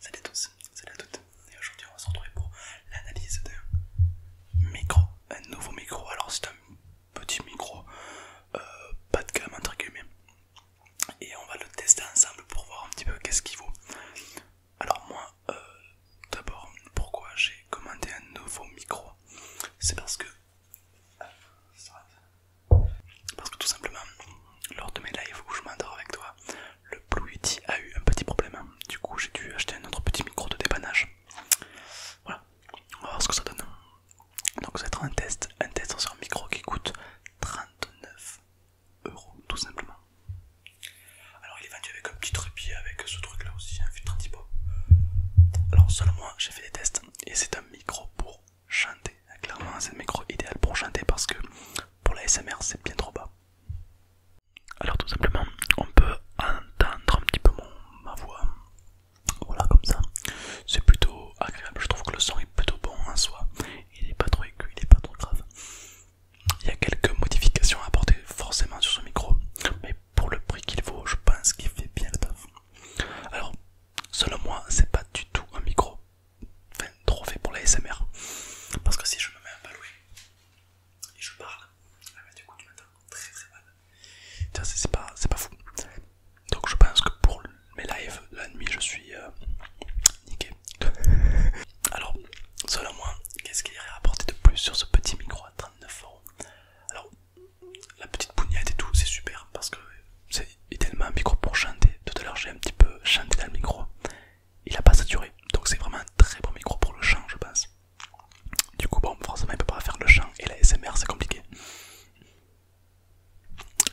Salut à tous, salut à toutes et aujourd'hui on va se retrouver pour l'analyse d'un micro, un nouveau micro, alors c'est un petit micro euh, pas de gamme entre guillemets et on va le tester ensemble pour voir un petit peu qu'est-ce qu'il vaut. Alors moi euh, d'abord pourquoi j'ai commandé un nouveau micro c'est parce que euh, parce que tout simplement lors de mes lives où je m'endors avec toi, le Blue Yeti a eu un petit problème. Du coup, j'ai dû acheter un autre petit micro de dépannage. Voilà, on va voir ce que ça donne. Donc, ça va être un test, un test sur un micro qui coûte 39 euros, tout simplement. Alors, il est vendu avec un petit trépied, avec ce truc là aussi, un filtre anti Alors, seulement, j'ai fait des tests et c'est un micro pour chanter. Clairement, c'est le micro idéal pour chanter parce que pour la SMR, c'est bien trop bas. Alors, tout simplement, on peut entendre un petit peu ma voix. Voilà, comme ça. C'est plutôt agréable. Je trouve que le son est plutôt bon en soi. Il n'est pas trop aigu, il n'est pas trop grave. Il y a quelques modifications à apporter forcément sur ce micro, mais pour le prix qu'il vaut, je pense qu'il fait bien le taf. Alors, selon moi, c'est pas du tout un micro Enfin, fait pour la SMR. Parce que si je me mets un balouet et je parle, ah bah, du coup tu très très mal. C'est pas, fou. Donc je pense que pour mes lives la nuit je suis euh, niqué. Alors, selon moi, qu'est-ce qu'il y aurait à apporter de plus sur ce petit micro à 39 euros Alors, la petite bougnette et tout, c'est super parce que c'est tellement un micro pour chanter. Tout à l'heure j'ai un petit peu chanté dans le micro. Il n'a pas saturé. Donc c'est vraiment un très bon micro pour le chant je pense. Du coup bon forcément il peut pas faire le chant et la SMR c'est compliqué.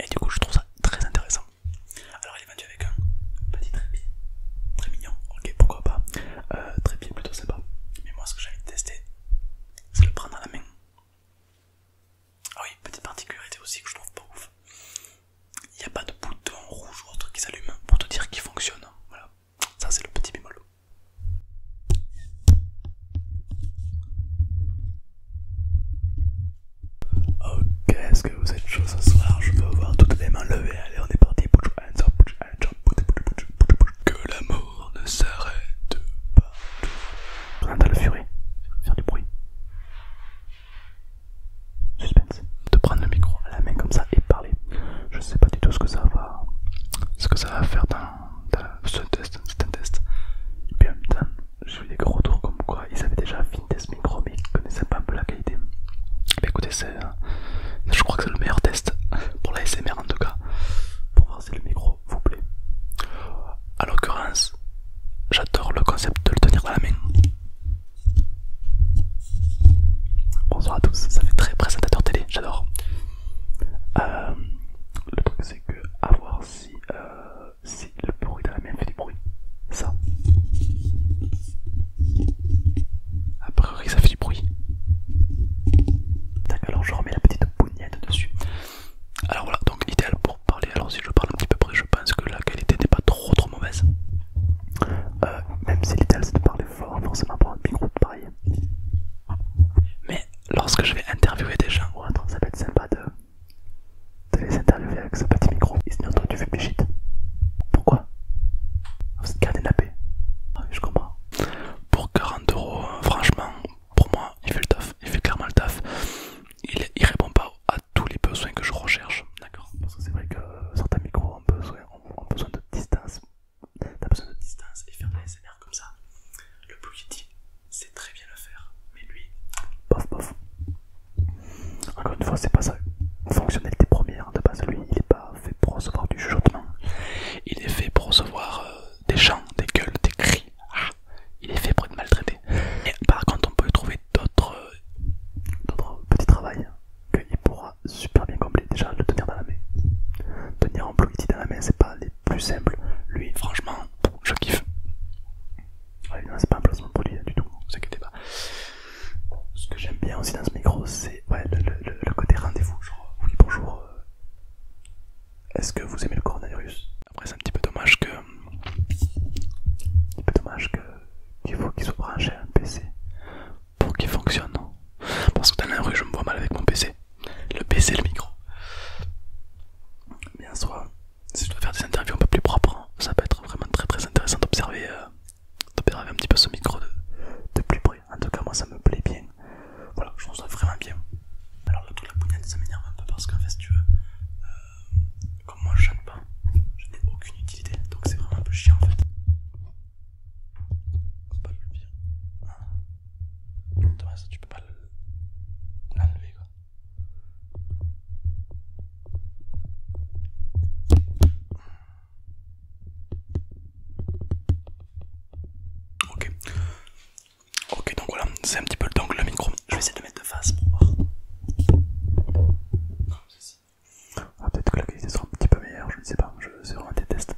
Et du coup je trouve ça très intéressant. Alors il est vendu avec un petit trépied. Très mignon, ok pourquoi pas. Euh, trépied plutôt sympa. Mais moi ce que j'ai envie de tester c'est le prendre à la main. Ah oui, petite particularité aussi que je trouve pas ouf. Il n'y a pas de bouton rouge ou autre qui s'allume pour te dire qu'il fonctionne. Voilà, ça c'est le petit bémol. Ok, est-ce que vous êtes chaud ce soir Je veux voir toutes les mains levées. Allez, on est parti. Que l'amour ne s'arrête pas. On entend le furie, faire du bruit. Suspense. De prendre le micro à la main comme ça et parler. Je sais pas du tout ce que ça va, ce que ça va faire dans, ce test. C'est un test. Et puis en même temps, j'ai des gros retours comme quoi ils avaient déjà fini test micro mais ils ne connaissaient pas un peu la qualité. Mais écoutez, euh, je crois que c'est le meilleur test pour la SMR en tout cas. Pour voir si le micro vous plaît. à l'occurrence, j'adore le concept de le tenir dans la main. Bonsoir à tous, ça fait très présentateur télé, j'adore. Euh, le truc c'est que à voir si, euh, le bruit dans la main fait du bruit. Ça. A priori ça fait du bruit. D'accord, alors je remets la petite bougnette dessus. Alors voilà, donc l'idéal pour parler. Alors si je parle un petit peu près, je pense que la qualité n'est pas trop trop mauvaise. Euh, même si l'idéal c'est de parler fort, forcément pour un micro pareil. Mais lorsque je vais interviewer des gens ou autre, ça peut être sympa de, de les interviewer avec ce petit micro. Et sinon, toi tu fais shit. Pourquoi Vous êtes la paix. Ah, je comprends. Pour 40 euros, hein, franchement, pour moi, il fait le taf, il fait clairement le taf. Il, répond pas à tous les besoins que je recherche, d'accord Parce que c'est vrai que euh, certains micros ont besoin, besoin de distance. T'as besoin de distance et faire des SNR comme ça. Le Blue Yeti c'est très bien le faire, mais lui, bof bof. Encore une fois, c'est pas ça. Fonctionnalité première de base, lui, il est pas fait pour recevoir du chuchotement. Il est fait pour recevoir euh, des chants, des gueules, des cris. Ah il est fait pour être maltraité. Mais par contre, on peut trouver d'autres euh, d'autres petits travails qu'il pourra super bien combler. Déjà, le tenir dans la main. Tenir un ici dans la main, c'est pas les plus simples. Lui, franchement, je kiffe. Non, c'est pas un placement pour lui hein, du tout, ne vous pas. Ce que j'aime bien aussi dans ce micro, c'est le, côté rendez-vous. Genre, oui, bonjour, euh, est-ce que vous aimez le coronavirus Après, c'est un petit peu dommage que. Un petit peu dommage que qu'il faut qu'il soit branché à un PC pour qu'il fonctionne. Parce que dans la rue, je me vois mal avec mon PC. Le PC, le micro. Mais en soi, si je dois faire des interviews un peu plus propres, hein, ça peut être vraiment très très intéressant d'observer euh, d'opérer un petit peu ce micro de, de plus près. En tout cas, moi, ça me plaît bien voilà, je trouve ça vraiment bien. Alors là, toute la bougnette, ça m'énerve un peu parce qu'en fait, si tu veux, euh, comme moi je chante pas, je n'ai aucune utilité, donc c'est vraiment un peu chiant en fait. Thomas, pas le tu peux pas l'enlever quoi. Ok, Ok, donc voilà, c'est un petit peu le dongle, le micro. Je vais essayer de mettre de face pour voir. Ah, peut-être que la qualité sera un petit peu meilleure, je ne sais pas, je c'est vraiment des tests.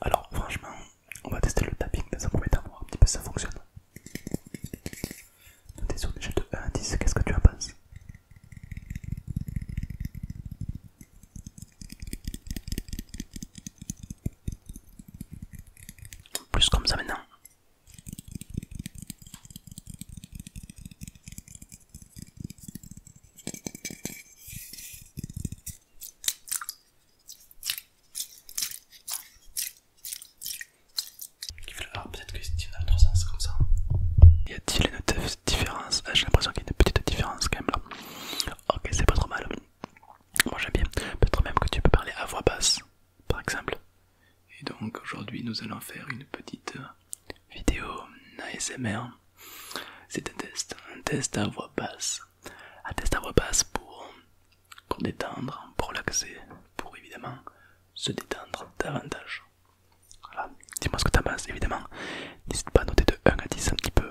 Alors, franchement, on va tester le tapping ça pour premier un petit peu si ça fonctionne. T'es sur une échelle de 1 à 10, qu'est-ce que tu en penses plus comme ça maintenant. alors peut-être que c'est dans autre sens comme ça. Y a-t-il une différence ah, J'ai l'impression qu'il y a une petite différence quand même là. Ok, c'est pas trop mal. Moi j'aime bien. Peut-être même que tu peux parler à voix basse, par exemple. Et donc aujourd'hui nous allons faire une petite euh, vidéo euh, ASMR. C'est un test, un test à voix basse. Un test à voix basse pour, pour détendre, pour relaxer, pour évidemment se détendre davantage. Voilà, dis-moi ce que t'en penses évidemment. N'hésite pas à noter de 1 à 10 un petit peu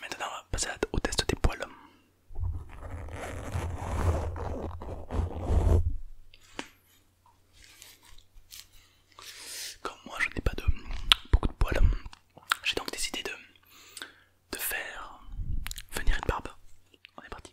Maintenant, on va passer au test des poils. Comme moi, je n'ai pas de beaucoup de poils, j'ai donc décidé de, de faire venir une barbe. On est parti.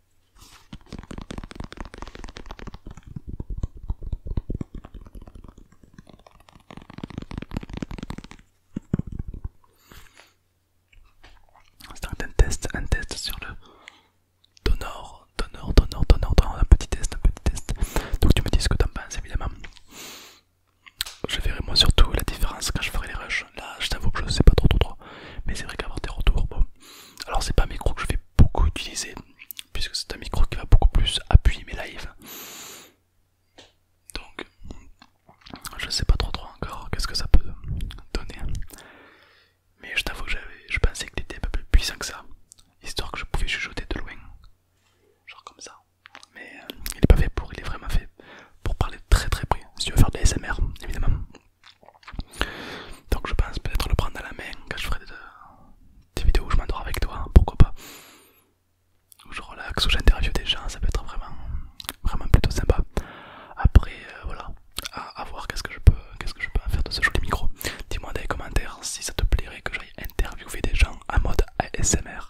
C'est un test, un test sur le donneur, donneur, donneur, donneur. un petit test, un petit test. Donc tu me dis ce que t'en penses évidemment. Je verrai moi surtout la différence quand je ferai les rushs. Là, je t'avoue que je sais pas trop trop trop. Mais c'est vrai qu'avoir des retours, bon. Alors, c'est pas un micro que je vais beaucoup utiliser, puisque c'est un micro qui va beaucoup plus appuyer mes lives. Donc, je sais pas trop trop encore qu'est-ce que ça peut donner. Mais je t'avoue que je pensais qu'il était un peu plus puissant que ça, histoire que je pouvais chuchoter de loin. Genre comme ça. Mais euh, il est pas fait pour, il est vraiment fait pour parler très très près. Si tu veux faire de l'ASMR, évidemment. Donc je pense peut-être le prendre à la main quand je ferai des, vidéos où je m'endors avec toi, pourquoi pas. Où je relaxe, où j'interviewe des gens, ça peut être vraiment, vraiment plutôt sympa. Après, euh, voilà, à, voir qu'est-ce que je peux qu'est-ce que je peux en faire de ce joli micro. Dis-moi dans les commentaires si ça te plairait que j'aille interviewer des gens en mode ASMR.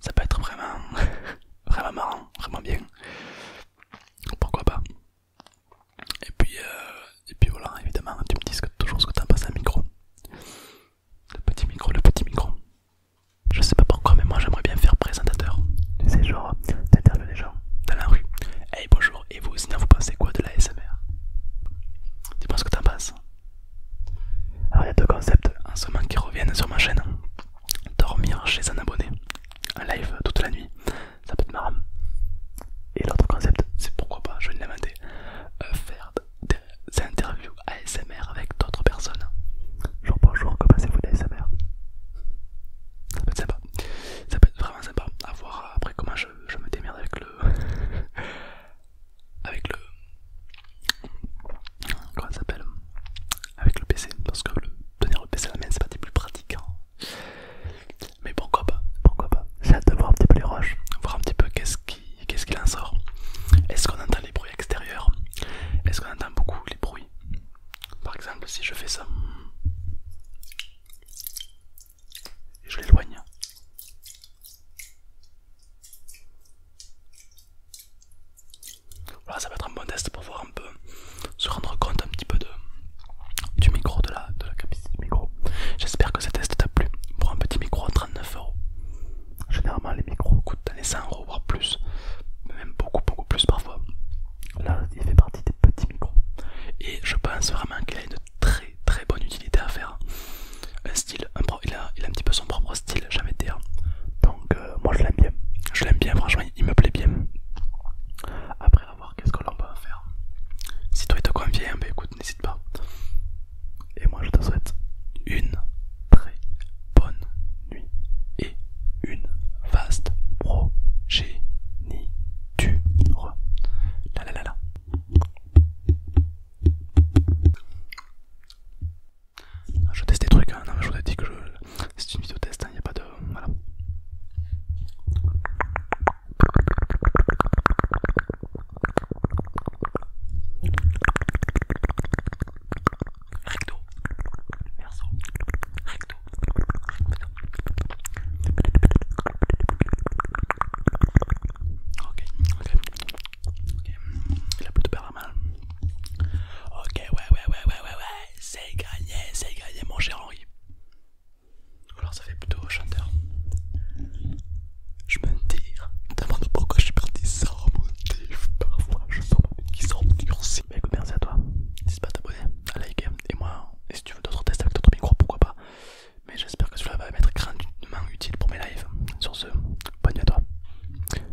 Ça peut être vraiment, vraiment marrant, vraiment bien pourquoi pas et puis euh, et puis voilà évidemment tu me dis toujours ce que t'en penses un micro le petit micro le petit micro je sais pas pourquoi mais moi j'aimerais bien faire présentateur tu sais genre t'interviews les gens dans la rue hey bonjour et vous sinon vous pensez quoi de la SMR tu ce que t'en passes. alors il y a deux concepts en ce moment qui reviennent sur ma chaîne dormir chez un abonné un live toute la nuit, ça peut être marrant. Et l'autre concept, c'est pourquoi pas, je vais l'inventer, euh, faire des interviews ASMR avec d'autres personnes. Jour bonjour, comment que passez-vous l'ASMR Ça peut être sympa, ça peut être vraiment sympa à voir euh, après comment je, je me démerde avec le. avec le comment ça s'appelle euh, avec le PC parce que tenir le PC à la main c'est pas des plus pratique. Hein. mais pourquoi pas pourquoi pas j'ai hâte de voir un petit peu les roches voir un petit peu qu'est-ce qu'il ce qu'il en sort est-ce qu'on entend les bruits extérieurs est-ce qu'on entend beaucoup les bruits par exemple si je fais ça et je l'éloigne voilà, ça va être un bon test pour voir un peu, se rendre compte un petit peu de, du micro, de la, de la capacité du micro. J'espère que ce test t'a plu pour un petit micro à 39 euros. Généralement, les micros coûtent les 100 euros, voire plus, même beaucoup, beaucoup plus parfois. Là, il fait partie des petits micros. Et je pense vraiment qu'il a une très, très bonne utilité à faire. Un style, il a un petit peu son propre style jamais dire. Hein. Donc, euh, moi je l'aime bien. Je l'aime bien, franchement, il me plaît bien. Après, à voir qu'est-ce que l'on peut faire. Si toi il te convient, bah écoute, n'hésite pas. Et moi je te souhaite une très bonne nuit et une vaste progéniture. La la la la. Ah, je teste des trucs, hein. non, je vous ai dit que je... c'est une vidéo test, il hein, n'y a pas de. Voilà. Recto, recto, recto. Ok, ok. Ok, plutôt pas de mal. Ok, ouais, ouais, ouais, ouais, ouais, ouais, c'est gagné, c'est gagné, mon cher Henri. Ou alors ça fait plutôt chanteur. Je me tire, demande pourquoi je suis parti sans motif. Parfois je sens ma qui bah, merci à toi. N'hésite pas à t'abonner, à liker. Et moi, et si tu veux d'autres tests avec d'autres micros, pourquoi pas. Mais j'espère que cela va m'être grandement utile pour mes lives. Sur ce, bonne nuit à toi.